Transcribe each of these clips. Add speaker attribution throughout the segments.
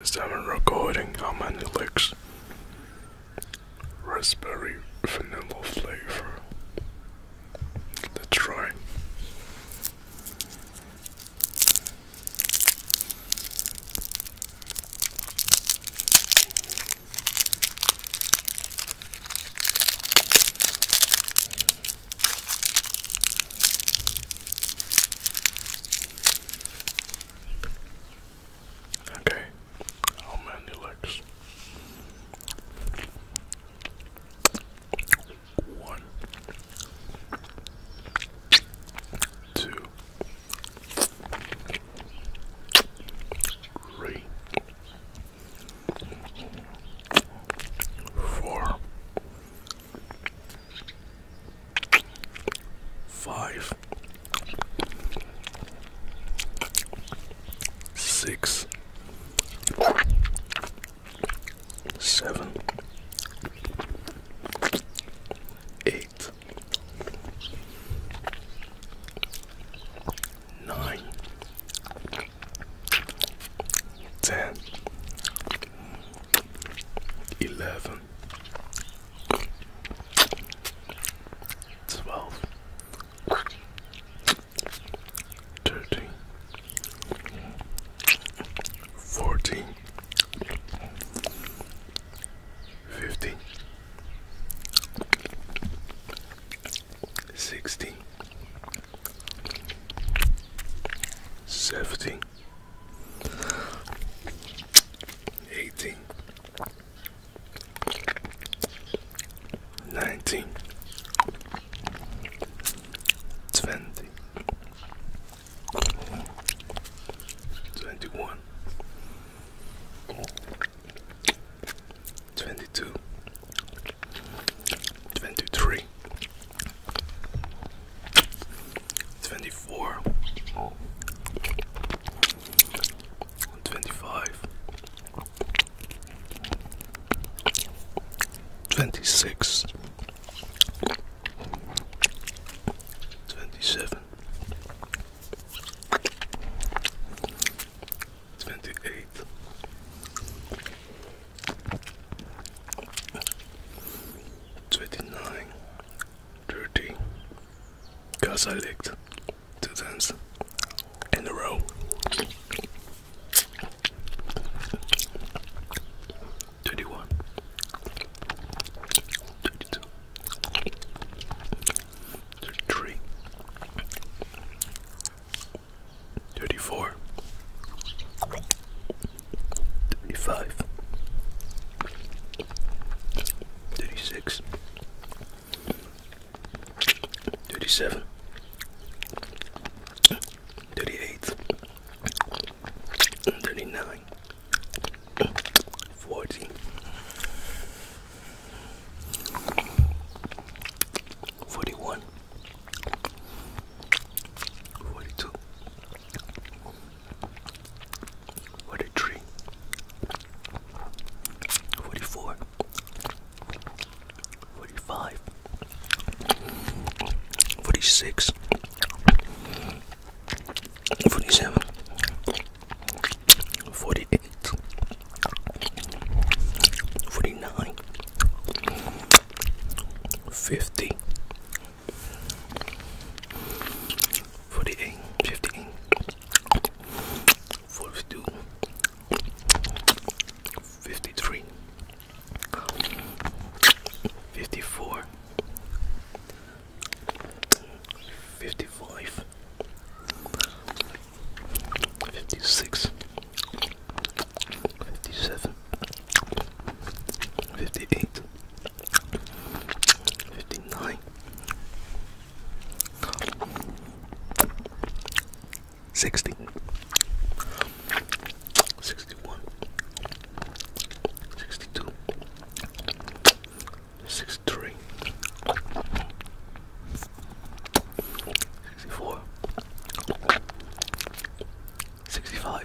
Speaker 1: Is that i recording how many licks? Raspberry vanilla flavor. Let's try. Okay. Oh man, he One, two, three, four, Five, six, seven, eight, nine, ten, eleven. Twelve. Fourteen. Fifteen. Sixteen. Seventeen. 18 19 20 21 22 23 24 25 26 27 28 29 Thirty. because I licked two times in a row. Thirty one, thirty two, thirty three, thirty four, thirty five. 36 37 38 39 40 41 42 43 44 45 46 47 48 49 50 48, 58, 53, 54, 55, 56, 57, 58, 59 60 61 62 63 64 65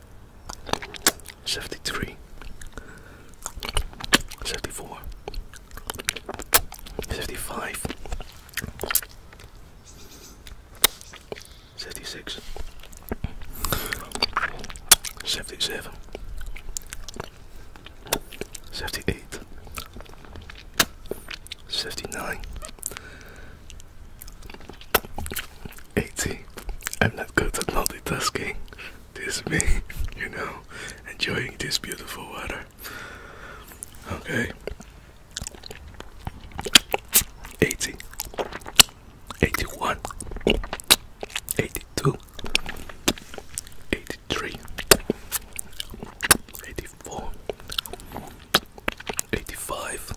Speaker 1: 73 74 75 76 77 78 79 80. I'm not good at multitasking. This is me, you know, enjoying this beautiful water. Okay. 80. 81. 82. 83. 84. 85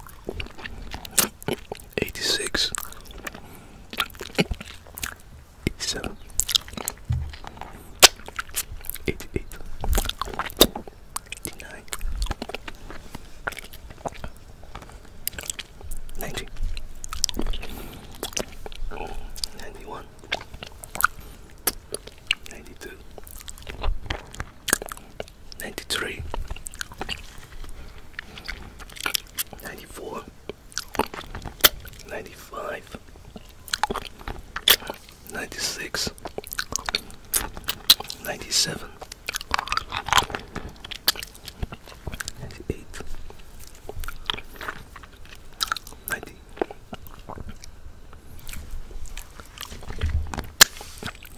Speaker 1: 86 87 88 89 90 91 92 93 94 95 96 97 98 99,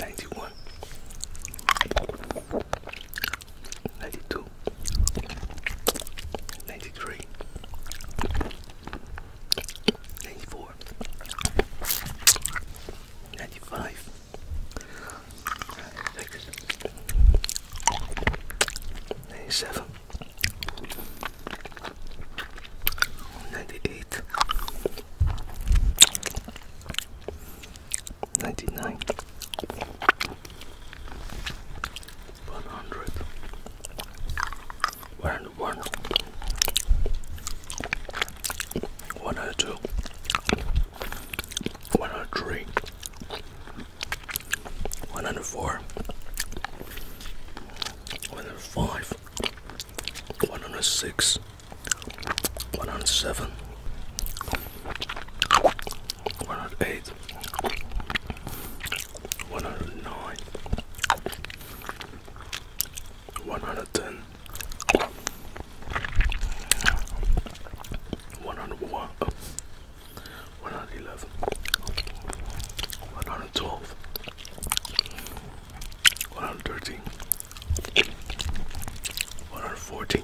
Speaker 1: 91 92 93 94 95 96 97 98 99 100 102 103 104 105 106 107 108 109 110 101 111 112 113 114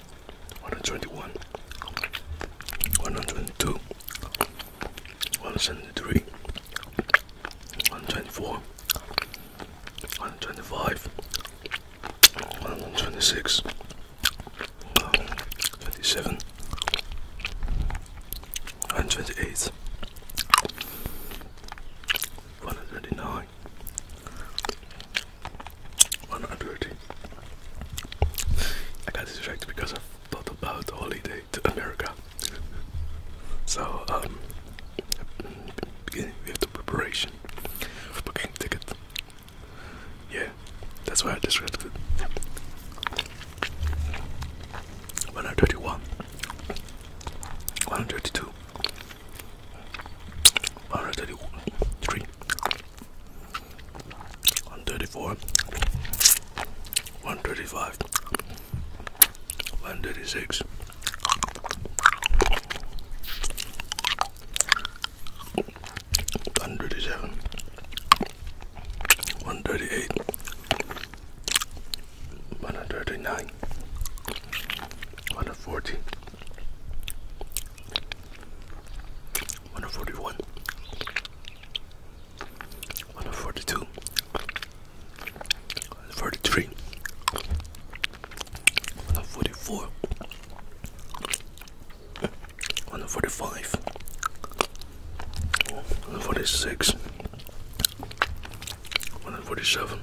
Speaker 1: 121, 122, 173, 124, 125, 126, 127, 128, 129, one hundred. I got distracted because I thought about the holiday to America. So um, beginning with the preparation for booking ticket. Yeah, that's why I distracted. One hundred thirty-one. One hundred thirty-two. One hundred thirty-three. 134 135 136 137 138 139 140 141, 142, 143, 144, 145, 146, 147.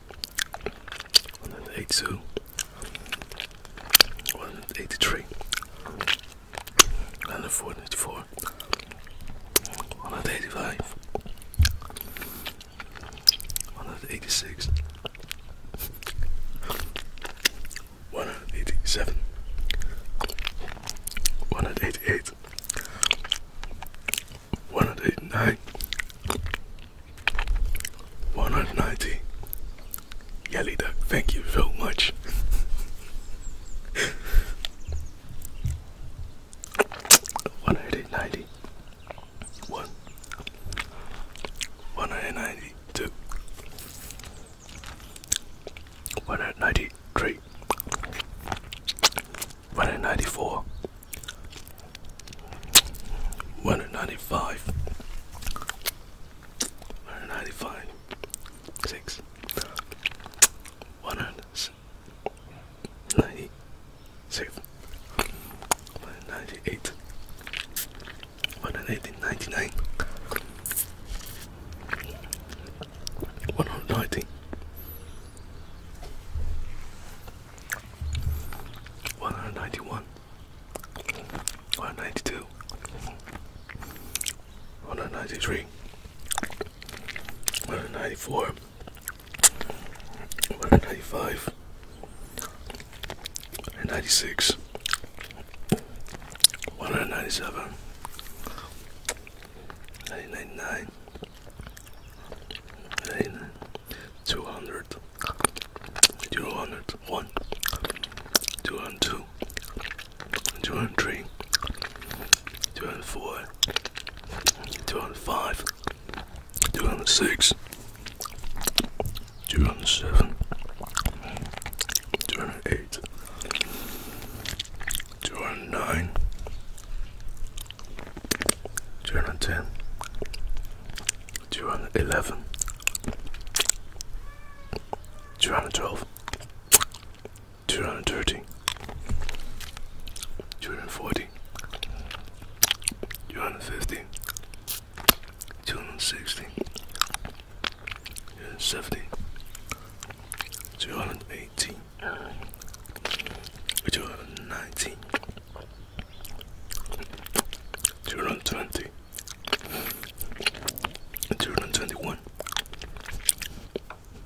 Speaker 1: 182, 183, 144, 185, 186, 187, 188, 189, 190. Yelly duck, thank you so much. One hundred ninety one, one hundred ninety two, one hundred ninety three, one hundred ninety four, one ninety five. One hundred ninety five. Six. One hundred ninety six. One ninety eight. One hundred eighty ninety nine. One hundred ninety. One hundred ninety one. 192, 193, 194, 195, 196, 197, 199, 199. 200 201 202 203 204 205 206 207 208 209 210 211 212 230 240 250 260 270 218 219 Two hundred twenty. Two hundred twenty-one.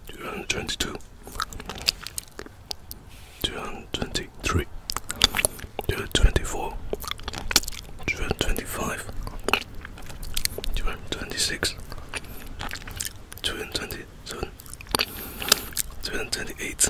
Speaker 1: Two hundred twenty-two. Two hundred twenty-three. Two hundred twenty-four. Two hundred twenty-five. Two hundred twenty-six. Two hundred twenty-seven. Two hundred twenty-eight.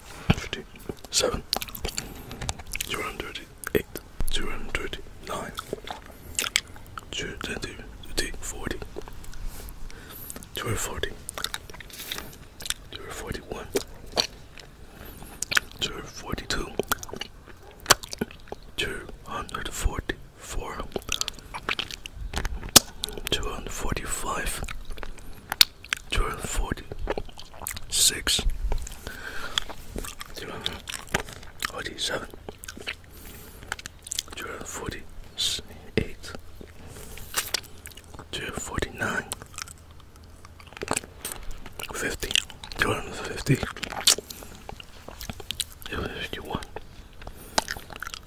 Speaker 1: 57, 208, 209, 240, 240, 241, 242, 244, 245, 246, 247, 248, 249, 250, 251,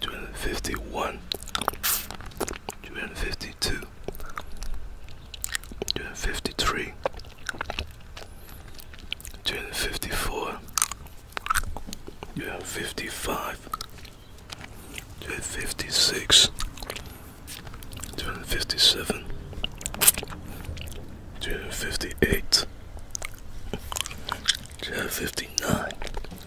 Speaker 1: 251 252 253 254 255 256 257 258 259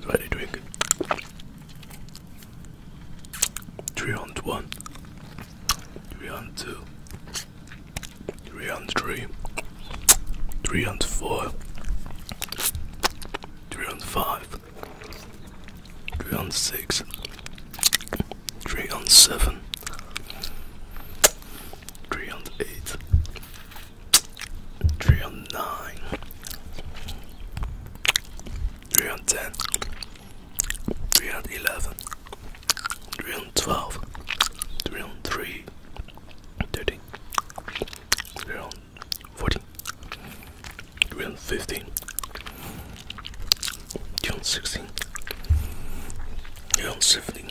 Speaker 1: Very drink. Three on one. Three on two. Three on three. Three on four. Three on five. Three on six. Three on seven. Three on eight three on nine, three on ten, three on eleven, three on twelve, three on three, thirteen, three on fourteen, three on fifteen, three on sixteen, three on seventeen.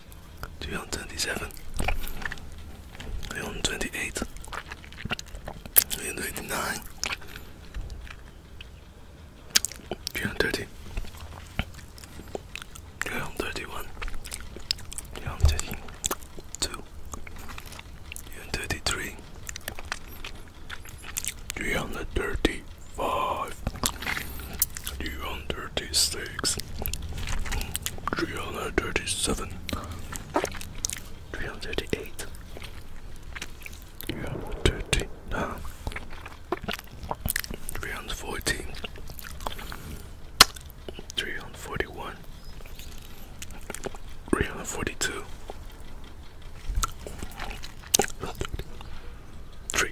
Speaker 1: 327 328 329 330 331 332 333 335 336 three hundred thirty seven, three hundred thirty eight, three hundred thirty nine, hundred forty. Three hundred forty one, three hundred forty two. Three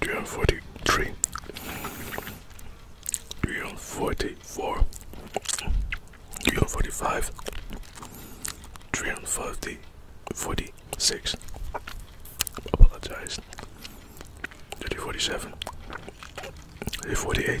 Speaker 1: three hundred forty three, three hundred forty four, three hundred forty five, three hundred forty forty six. Apologize. three hundred forty-nine.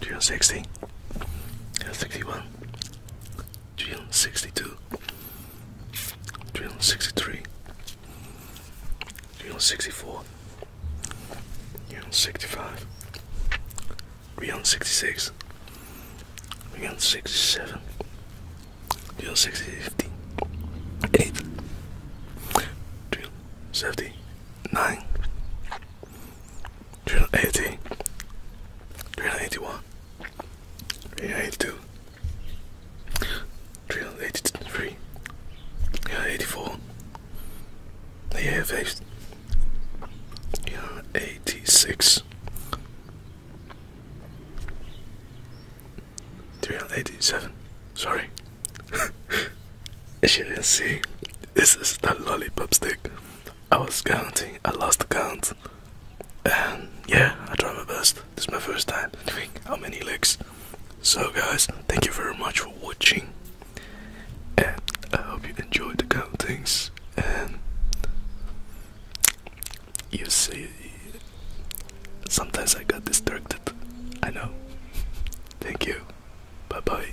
Speaker 1: June 60, 61, June 62, June 63, June 64, June 65, June 66, June 67, June 68, June 79, 380 381 382 383 384 385 386 387 sorry as you can see this is the lollipop stick I was counting, I lost the count. And yeah, I tried my best. This is my first time how many licks. So, guys, thank you very much for watching. And I hope you enjoyed the countings. And you see, sometimes I got distracted. I know. Thank you. Bye bye.